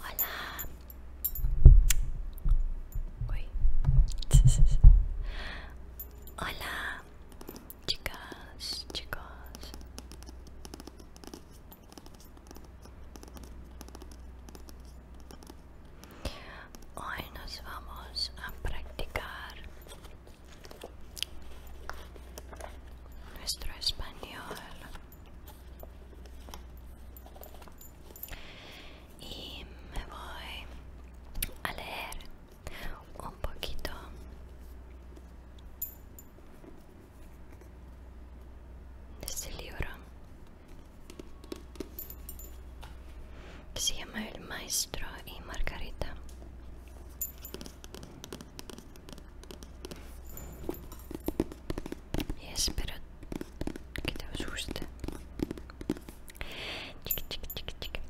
Olá. Oi. Olá. Chicas, chicos. Hoy nos vamos a practicar nuestro español y me voy a leer un poquito de este libro que se llama El Maestro y Margarita. Y espero que te os guste. Chica, chica, chica, chica.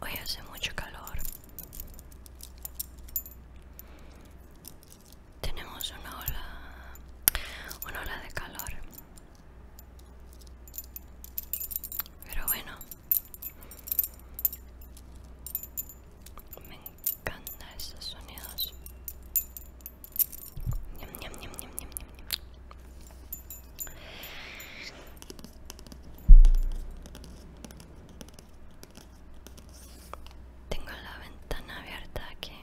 Hoy hace mucho calor tenemos una ola, una ola de calor. Pero bueno, me encantan esos sonidos. Tengo la ventana abierta aquí.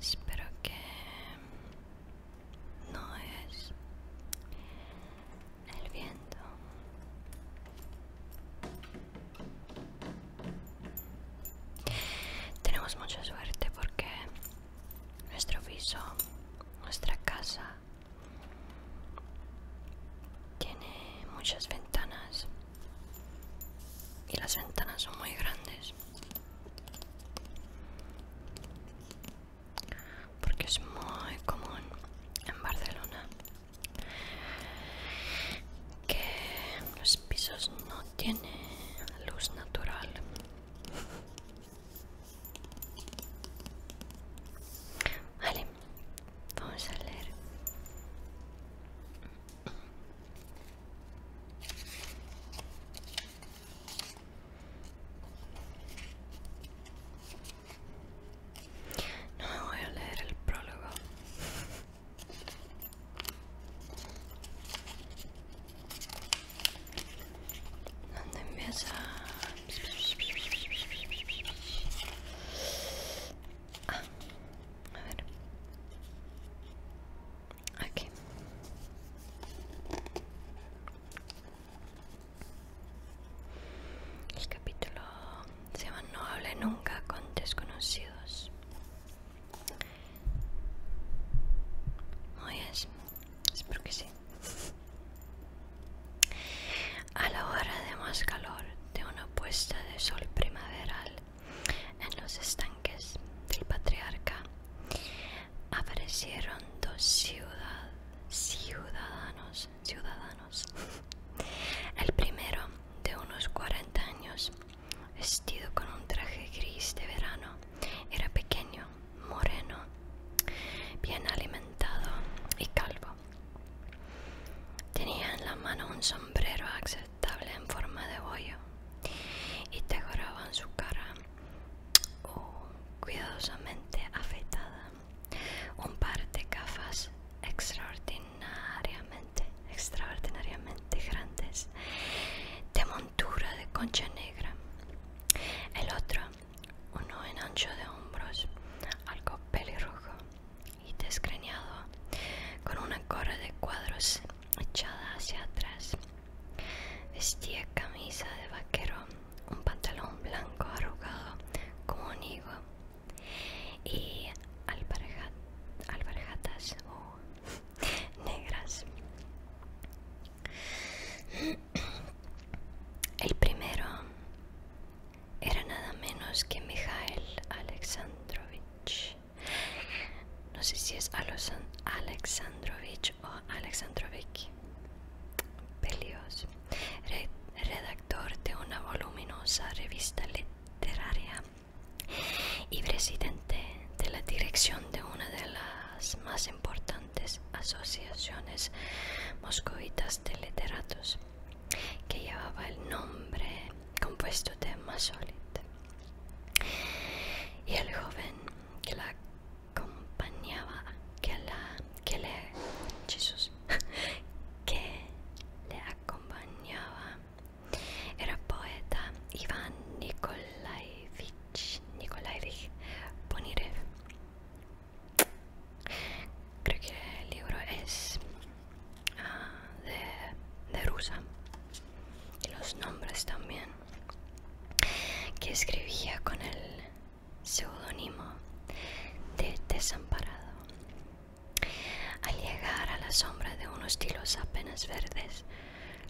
Espero que no es el viento. Tenemos mucha suerte porque nuestro piso, nuestra casa tiene muchas ventanas y las ventanas son muy grandes porque es muy común en Barcelona que los pisos no tienen luz natural Vale, vamos a leer. No me voy a leer el prólogo donde empieza ah, a ver aquí el capítulo se llama no hable nunca con desconocidos Hoy es Espero que sí. A la hora de más calor de una puesta de sol primaveral en los estanques del patriarca aparecieron dos ciudad ciudadanos ciudadanos el primero de unos 40 años vestido con un traje gris de verano era pequeño moreno, bien alimentado y calvo. Tenía en la mano un sombrero aceptable en forma de bollo. y en su cara oh, cuidadosamente afeitada. Un par de gafas extraordinariamente, extraordinariamente grandes de montura de concha negra. El otro uno en ancho de hombros, algo pelirrojo y desgreñado, con una cor de cuadros echada hacia atrás. Vestía camisa de vaquero, un pantalón blanco arrugado como un higo y albarjatas oh, negras. El primero era nada menos que Mikhail Alexandrovich. No sé si es Alexandrovich o Alexandrovich. Pelios, redactor de una voluminosa revista literaria y presidente de la dirección de una de las más importantes asociaciones moscovitas de literatos que llevaba el nombre compuesto de Masolit. Y el joven que la acompañaba, que, la, que, le, que le acompañaba, era poeta Iván Nikolaevich Nikolai Creo que el libro es ah, de, de rusa y los nombres también que escribía con el seudónimo de Desamparado. Al llegar a la sombra de unos tilos apenas verdes,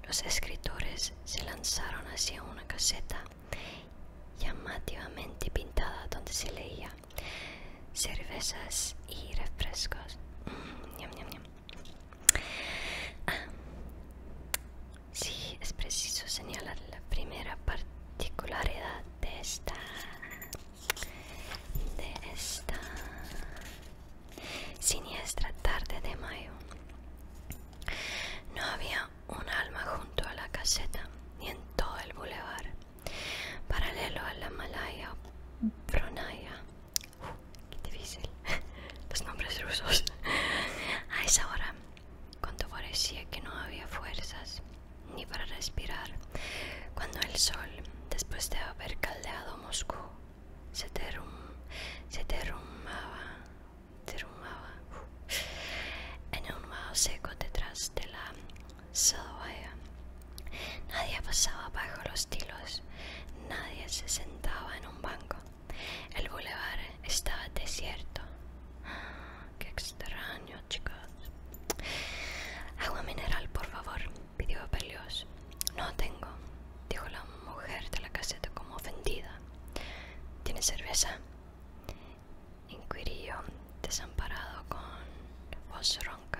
los escritores se lanzaron hacia una caseta llamativamente pintada donde se leía cervezas y refrescos. Mm, ah, sí, es preciso señalar la primera particularidad de esta, de esta siniestra tarde de mayo. No había un alma junto a la caseta ni en todo el bulevar. Paralelo a la Malaya Bronaya. Uh, qué difícil. Los nombres rusos. A esa hora, cuando parecía que no había fuerzas ni para respirar, cuando el sol, después de haber caldeado Moscú, se, se derrumbaba, en un vaho seco detrás de la Nadie pasaba bajo los tilos, nadie se sentaba en un banco. El bulevar estaba desierto. Ah, qué extraño, chicos. Agua mineral, por favor, pidió Pelios. No tengo, dijo la mujer de la caseta como ofendida. ¿Tiene cerveza? Inquirió desamparado con voz ronca.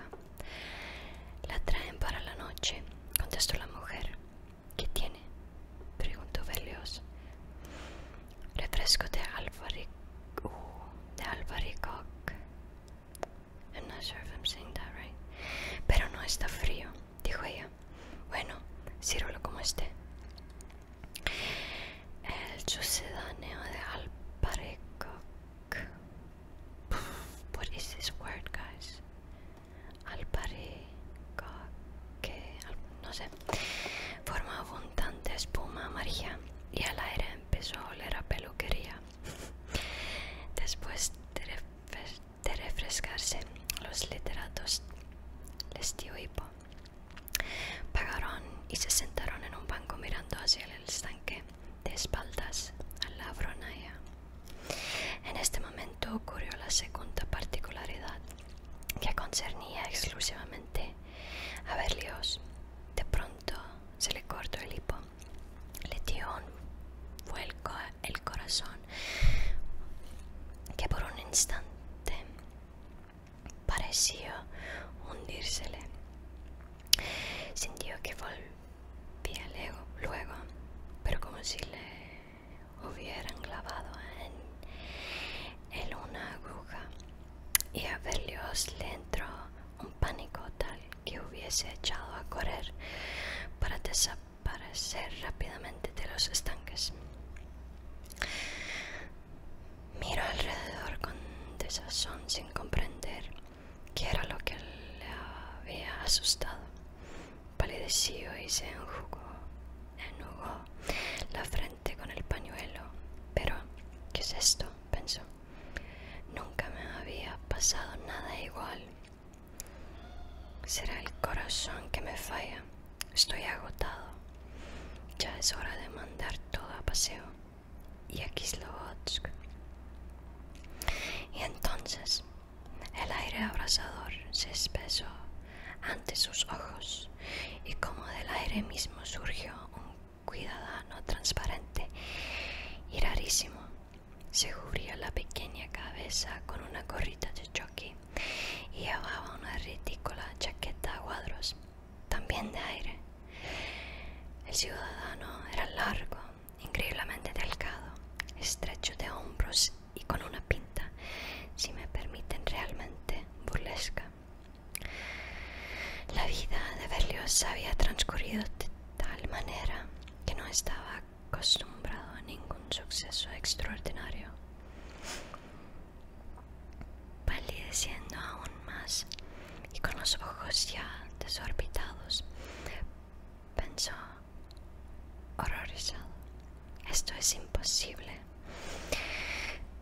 La traen para la noche, contestó la mujer. ¿Qué tiene? preguntó Berlioz. Refresco de albaricoque. Uh, de Pero no está frío dijo ella. Bueno, sírvelo como esté. El sucedáneo de Alparecoc. What is this word, guys? No sé. Forma abundante espuma amarilla y al aire empezó a oler a peluquería. Después de de refrescarse, los literatos les dio hipo. Pagaron y se sentaron en un banco mirando hacia el estanque de espaldas a la bronaya. En este momento ocurrió la segunda particularidad que concernía exclusivamente a Berlioz. De pronto se le cortó el hipo le dio un vuelco el corazón que por un instante pareció hundírsele. Sintió que volvía luego, pero como si le hubieran clavado en una aguja y a Berlioz le entró un pánico tal que hubiese echado a correr para desaparecer rápidamente de los estanques. Miro alrededor con desazón sin comprender qué era lo que le había asustado. Palideció y se enjugó, enjugó la frente con el pañuelo. Pero, ¿qué es esto? pensó. Nunca me había pasado nada igual. Será el corazón que me falla. Estoy agotado. Ya es hora de mandar todo a paseo. Y aquí es lo Y entonces el aire abrasador se espesó ante sus ojos y como del aire mismo surgió un cuidadano transparente y rarísimo se cubría la pequeña cabeza con una gorrita de choque y llevaba una ridícula chaqueta a cuadros, también de aire. El ciudadano era largo, increíblemente delgado, estrecho de hombros y con una pinta, si me permiten, realmente burlesca. La vida de Berlioz había transcurrido tal manera que no estaba acostumbrado a ningún suceso extraordinario. Palideciendo aún más y con los ojos ya desorbitados, pensó horrorizado. Esto es imposible.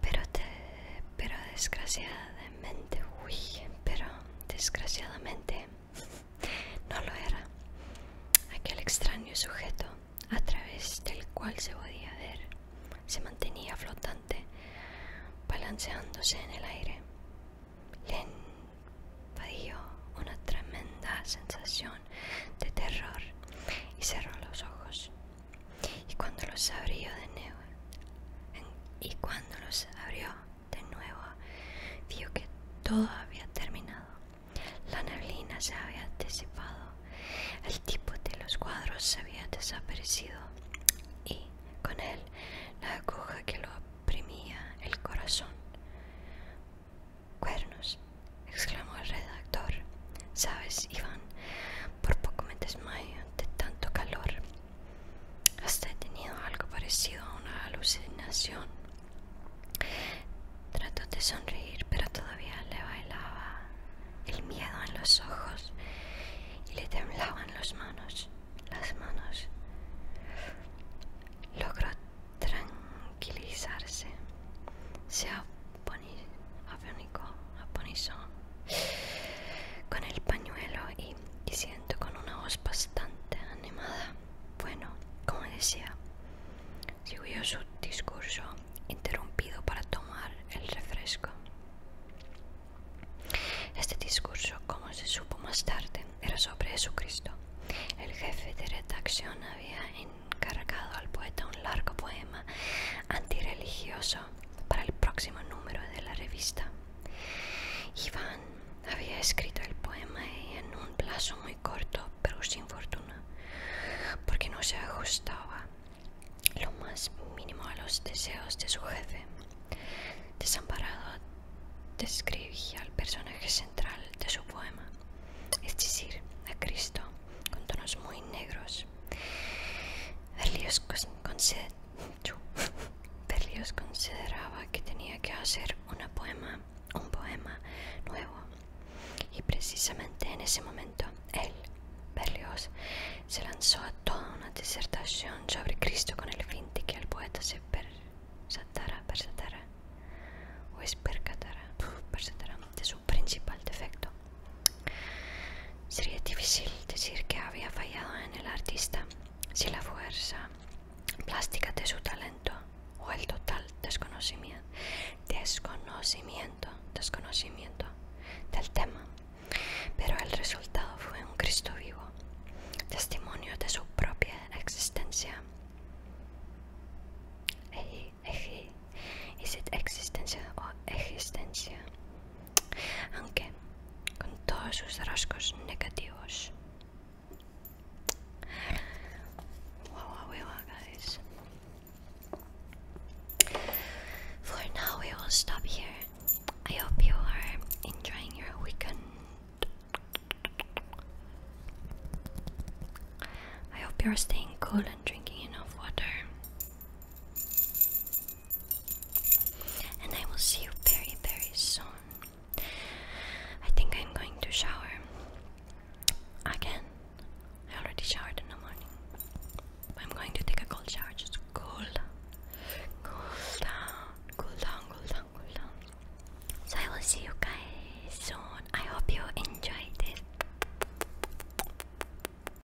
Pero pero desgraciadamente, uy, pero desgraciadamente no lo era. Aquel extraño sujeto a través del cual se podía ver se mantenía flotante, balanceándose en el aire. Le invadió una tremenda sensación de terror y cerró los ojos. Y cuando los abrió de nuevo, y cuando los abrió de nuevo vio que todo había terminado. La neblina se había disipado, el tipo de los cuadros se había desaparecido y con él la aguja que lo oprimía el corazón. Cuernos, exclamó el redactor. Sabes, Iván, por poco me desmayo ante tanto calor. Hasta he tenido algo parecido a una alucinación? Trató de sonreír, pero todavía le bailaba el miedo en los ojos y le temblaban las manos. Las manos. Logró tranquilizarse. Se aponizó con el pañuelo y y, siento con una voz bastante animada. Bueno, como decía, siguió su discurso interrumpido para tomar el refresco. Este discurso, como se supo más tarde, era sobre Jesucristo. El jefe de redacción había encargado al poeta un largo poema antirreligioso para el próximo número de la revista. Iván había escrito el poema en un plazo muy corto, pero sin fortuna, porque no se ajustaba lo más mínimo a los deseos de su jefe. Desamparado, describía al personaje central de su poema, es decir, a Cristo, con tonos muy negros. con Berlioz consideraba que tenía que hacer poema, un poema nuevo. Y precisamente en ese momento, él, Berlioz, se lanzó a toda una disertación sobre Cristo con el fin de que el poeta se percatara, persatara, o percatara, persatara, de su principal defecto, Sería difícil decir que había fallado en el artista si la fuerza plástica de su talento o el total desconocimiento, desconocimiento, desconocimiento del tema. Pero el resultado fue un Cristo vivo, testimonio de su propia existencia. existencia o existencia? aunque con todos sus rasgos negativos. For now, we will stop here. I hope you are enjoying your weekend. I hope you are staying cool and drinking enough water. And I will see you very, very soon. I think I'm going to shower again. I already showered in the morning. I'm going to take a cold shower just to cool down. Cool down, cool down, cool down, cool down. So I will see you guys soon. I hope you enjoyed this.